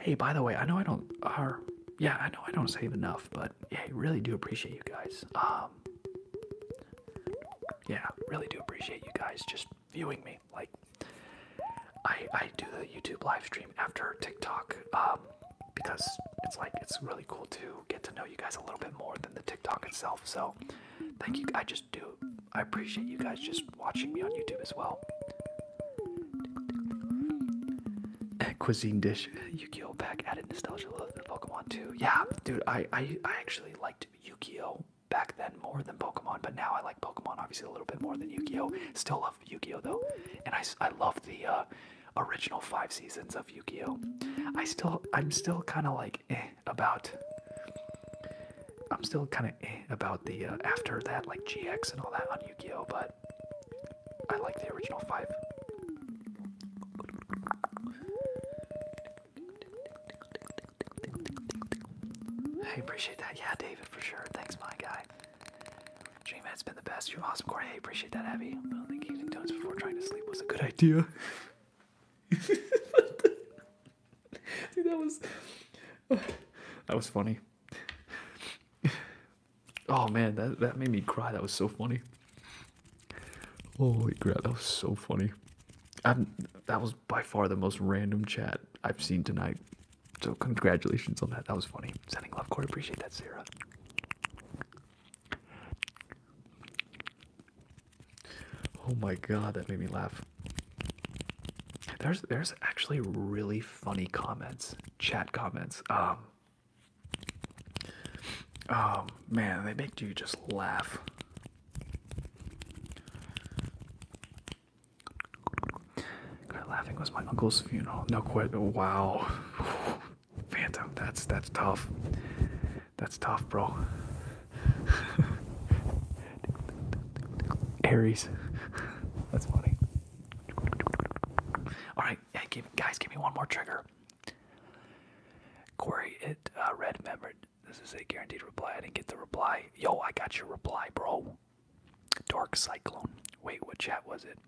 Hey, by the way, I know I don't. Uh, yeah, I know I don't save enough, but yeah, I really do appreciate you guys. Um, yeah, really do appreciate you guys just viewing me. Like, I I do the YouTube live stream after TikTok um, because it's like it's really cool too get to know you guys a little bit more than the TikTok itself. So thank you. I just do. I appreciate you guys just watching me on YouTube as well. Cuisine dish. Yukio back added nostalgia love to Pokemon too. Yeah, dude, I, I, I actually liked Yukio back then more than Pokemon, but now I like Pokemon obviously a little bit more than Yukio. Still love Yukio though, and I, I love the uh, original five seasons of Yu-Gi-Oh. I still, I'm still kind of like eh, about. I'm still kind of eh, about the uh, after that, like GX and all that on Yu-Gi-Oh. But I like the original five. I appreciate that. Yeah, David, for sure. Thanks, my guy. Dream has been the best. You're awesome, Corey. Hey, appreciate that, Abby. I don't think eating before trying to sleep was a good idea. that was that was funny. Oh man, that that made me cry. That was so funny. Holy crap, that was so funny. I'm, that was by far the most random chat I've seen tonight. So congratulations on that. That was funny. Sending love, Corey. Appreciate that, Sarah. Oh my god, that made me laugh. There's there's actually really funny comments, chat comments. Um Oh man, they make you just laugh. laughing was my uncle's funeral. No quit. Wow. Phantom, that's that's tough. That's tough, bro. Aries, that's funny. All right, guys, give me one more trigger. Corey, it uh, red membered. This is a guaranteed reply. I didn't get the reply. Yo, I got your reply, bro. Dark cyclone. Wait, what chat was it?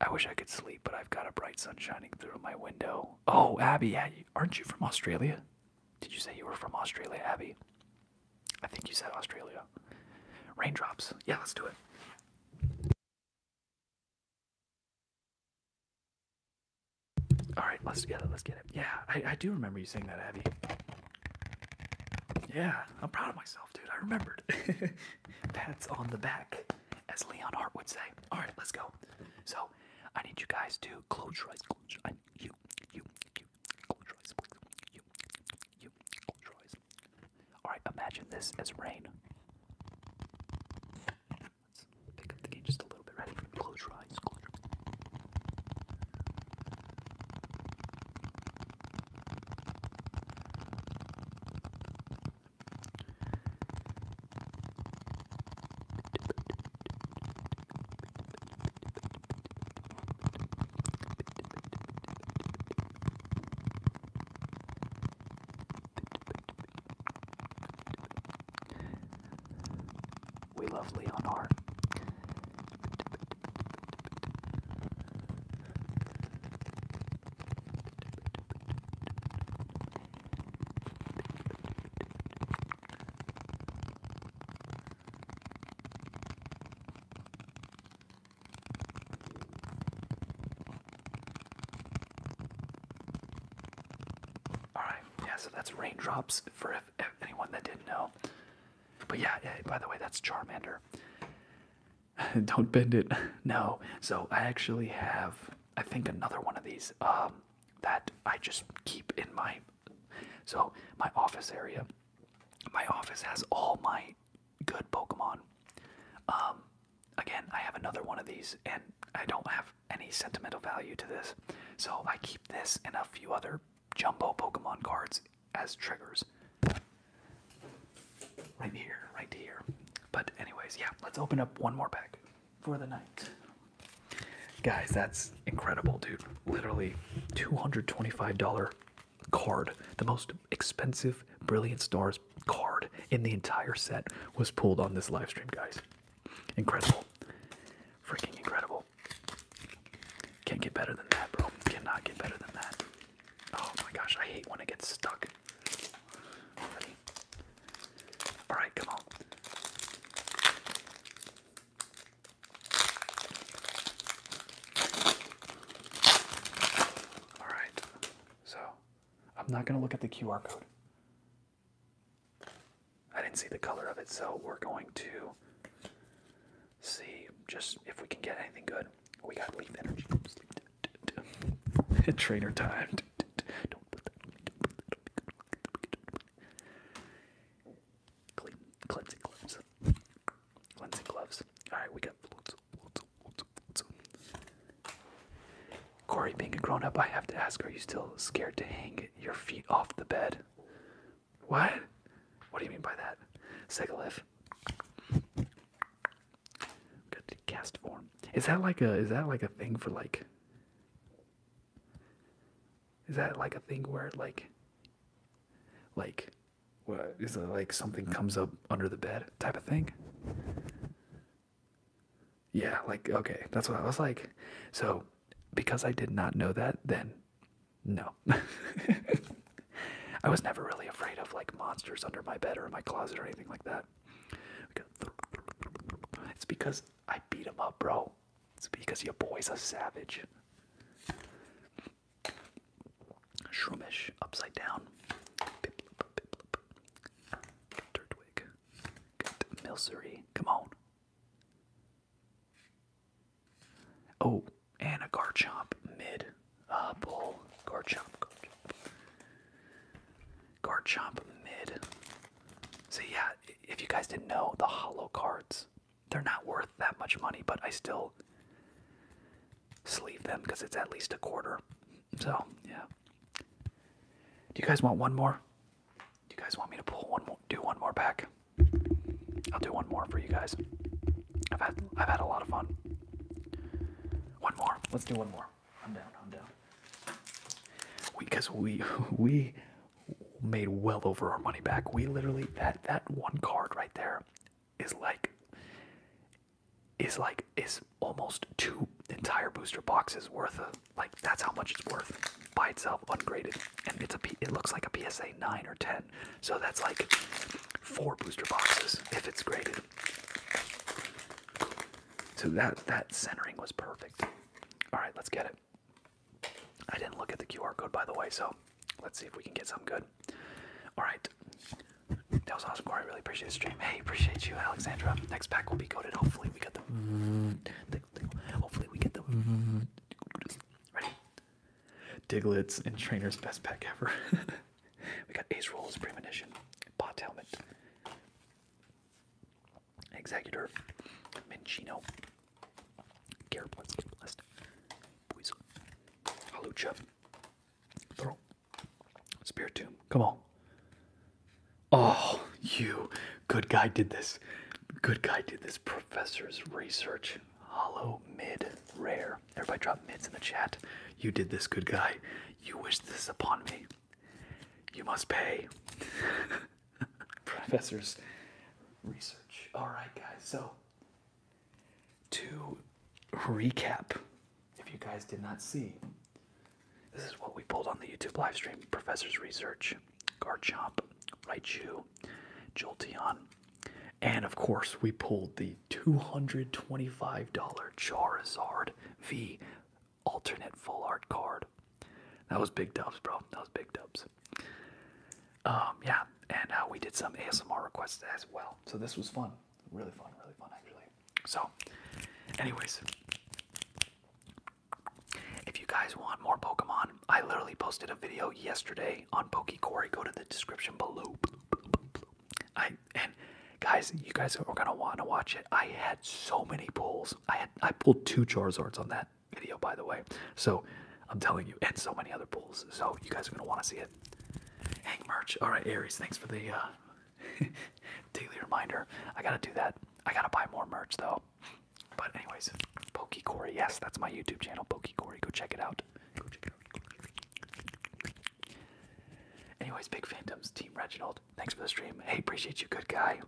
I wish I could sleep, but I've got a bright sun shining through my window. Oh, Abby, aren't you from Australia? Did you say you were from Australia, Abby? I think you said Australia. Raindrops. Yeah, let's do it. All right, let's get it. Let's get it. Yeah, I, I do remember you saying that, Abby. Yeah, I'm proud of myself, dude. I remembered. Pat's on the back as Leon Hart would say. All right, let's go. So I need you guys to close your eyes. Close your eyes. You, you, you, close your eyes, You, you, close your eyes. All right, imagine this as rain. Let's pick up the game just a little bit. Ready? Close your eyes. Close your eyes. We love Leonard. All right, yeah, so that's raindrops for anyone that didn't know. But yeah, yeah, by the way, that's Charmander. Don't bend it. No. So I actually have, I think, another one of these. Um, that I just keep in my so my office area. My office has all my good Pokemon. Um, again, I have another one of these, and I don't have any sentimental value to this, so I keep this and a few other jumbo Pokemon cards as triggers. Right here, right here. But anyways, yeah, let's open up one more pack for the night. Guys, that's incredible, dude. Literally $225 card. The most expensive Brilliant Stars card in the entire set was pulled on this live stream, guys. Incredible. Freaking incredible. Can't get better than that, bro. Cannot get better than that. Oh my gosh, I hate when it gets stuck. All right, come on. All right. So, I'm not going to look at the QR code. I didn't see the color of it, so we're going to see just if we can get anything good. We got leaf energy. Trainer timed do Clean, cleansing gloves. Cleansing gloves. Alright, we got Corey, being a grown up, I have to ask, are you still scared to hang your feet off the bed? What? What do you mean by that? Segalith. Good cast form. Is that like a is that like a thing for like is that like a thing where like, like, what is it like something comes up under the bed type of thing? Yeah, like okay, that's what I was like. So, because I did not know that, then no. I was never really afraid of like monsters under my bed or my closet or anything like that. It's because I beat him up, bro. It's because your boy's a savage. Shroomish, upside down. Dirtwig. Get Come on. Oh, and a Garchomp mid. Uh, bull. Garchomp, Garchomp. Garchomp mid. So yeah, if you guys didn't know, the hollow cards, they're not worth that much money, but I still sleeve them because it's at least a quarter. So yeah. Do you guys want one more? Do you guys want me to pull one more do one more pack? I'll do one more for you guys. I've had I've had a lot of fun. One more. Let's do one more. I'm down. I'm down. Because we, we made well over our money back. We literally that that one card right there is like is like is almost two entire booster boxes worth of like that's how much it's worth by itself ungraded and it's a P, it looks like a PSA 9 or 10 so that's like four booster boxes if it's graded so that that centering was perfect all right, let's get it. I didn't look at the QR code, by the way, so let's see if we can get some good. All right. That was awesome, Corey. I really appreciate the stream. Hey, appreciate you, Alexandra. Next pack will be coded. Hopefully, we get the. Hopefully, we get the. Ready? Diglets and Trainer's best pack ever. we got Ace Rolls, Premonition, Pot Helmet. Executor, Minchino, Garrett, let get the list. Poison, Halucha, Throw, Spiritomb, come on. Oh, you good guy did this. Good guy did this. Professor's research. Hollow, mid, rare. Everybody drop mids in the chat. You did this, good guy. You wish this upon me. You must pay. Professor's research. All right, guys. So, to recap, if you guys did not see, this is what we pulled on the YouTube live stream Professor's research, guard Garchomp, Raichu, Jolteon, and of course, we pulled the $225 Charizard V alternate full art card. That was big dubs, bro. That was big dubs. Um, yeah, and uh, we did some ASMR requests as well. So this was fun, really fun, really fun actually. So, anyways, if you guys want more Pokemon, I literally posted a video yesterday on Pokecore. Go to the description below. I and guys, you guys are gonna want to watch it. I had so many pulls. I had I pulled two Charizards on that video, by the way. So I'm telling you, and so many other pulls. So you guys are gonna want to see it. Hang merch. All right, Aries. Thanks for the uh, daily reminder. I gotta do that. I gotta buy more merch though. But anyways, Corey, Yes, that's my YouTube channel, Pokecory. Go check it out. Go check it out. Anyways, Big Phantoms, Team Reginald. Thanks for the stream. Hey, appreciate you, good guy.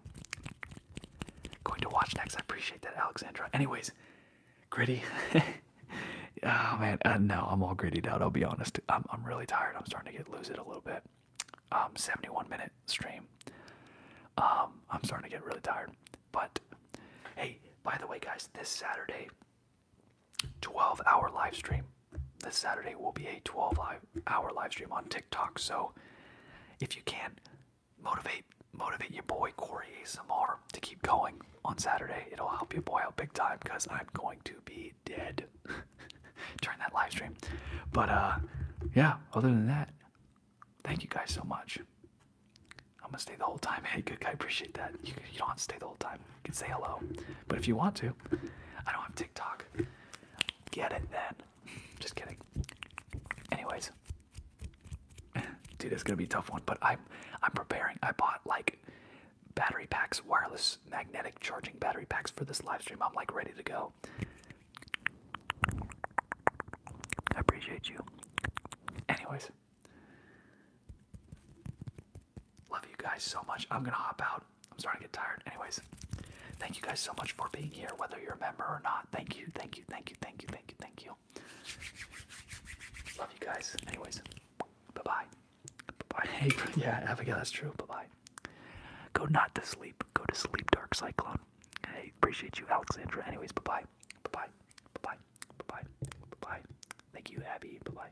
Going to watch next. I appreciate that, Alexandra. Anyways, gritty. oh man, uh, no, I'm all gritty out. I'll be honest. I'm I'm really tired. I'm starting to get lose it a little bit. Um, 71 minute stream. Um, I'm starting to get really tired. But hey, by the way, guys, this Saturday, 12 hour live stream. This Saturday will be a 12 hour live stream on TikTok. So if you can, motivate motivate your boy Corey ASMR to keep going on Saturday. It'll help your boy out big time because I'm going to be dead during that live stream. But uh yeah, other than that, thank you guys so much. I'm gonna stay the whole time. Hey, good guy, appreciate that. You, you don't have to stay the whole time. You can say hello, but if you want to, I don't have TikTok. Get it then. Just kidding. Anyways, dude, it's gonna be a tough one, but I'm I'm preparing. I bought like battery packs, wireless magnetic charging battery packs for this live stream. I'm like ready to go. I appreciate you. Anyways. Love you guys so much. I'm gonna hop out. I'm starting to get tired. Anyways, Thank you guys so much for being here, whether you're a member or not. Thank you, thank you, thank you, thank you, thank you, thank you. Love you guys. Anyways, bye bye. Bye bye. Hey, yeah, Abigail, that's true. Bye bye. Go not to sleep. Go to sleep, Dark Cyclone. Hey, appreciate you, Alexandra. Anyways, bye bye. Bye bye. Bye bye. Bye bye. Bye bye. Thank you, Abby. Bye bye.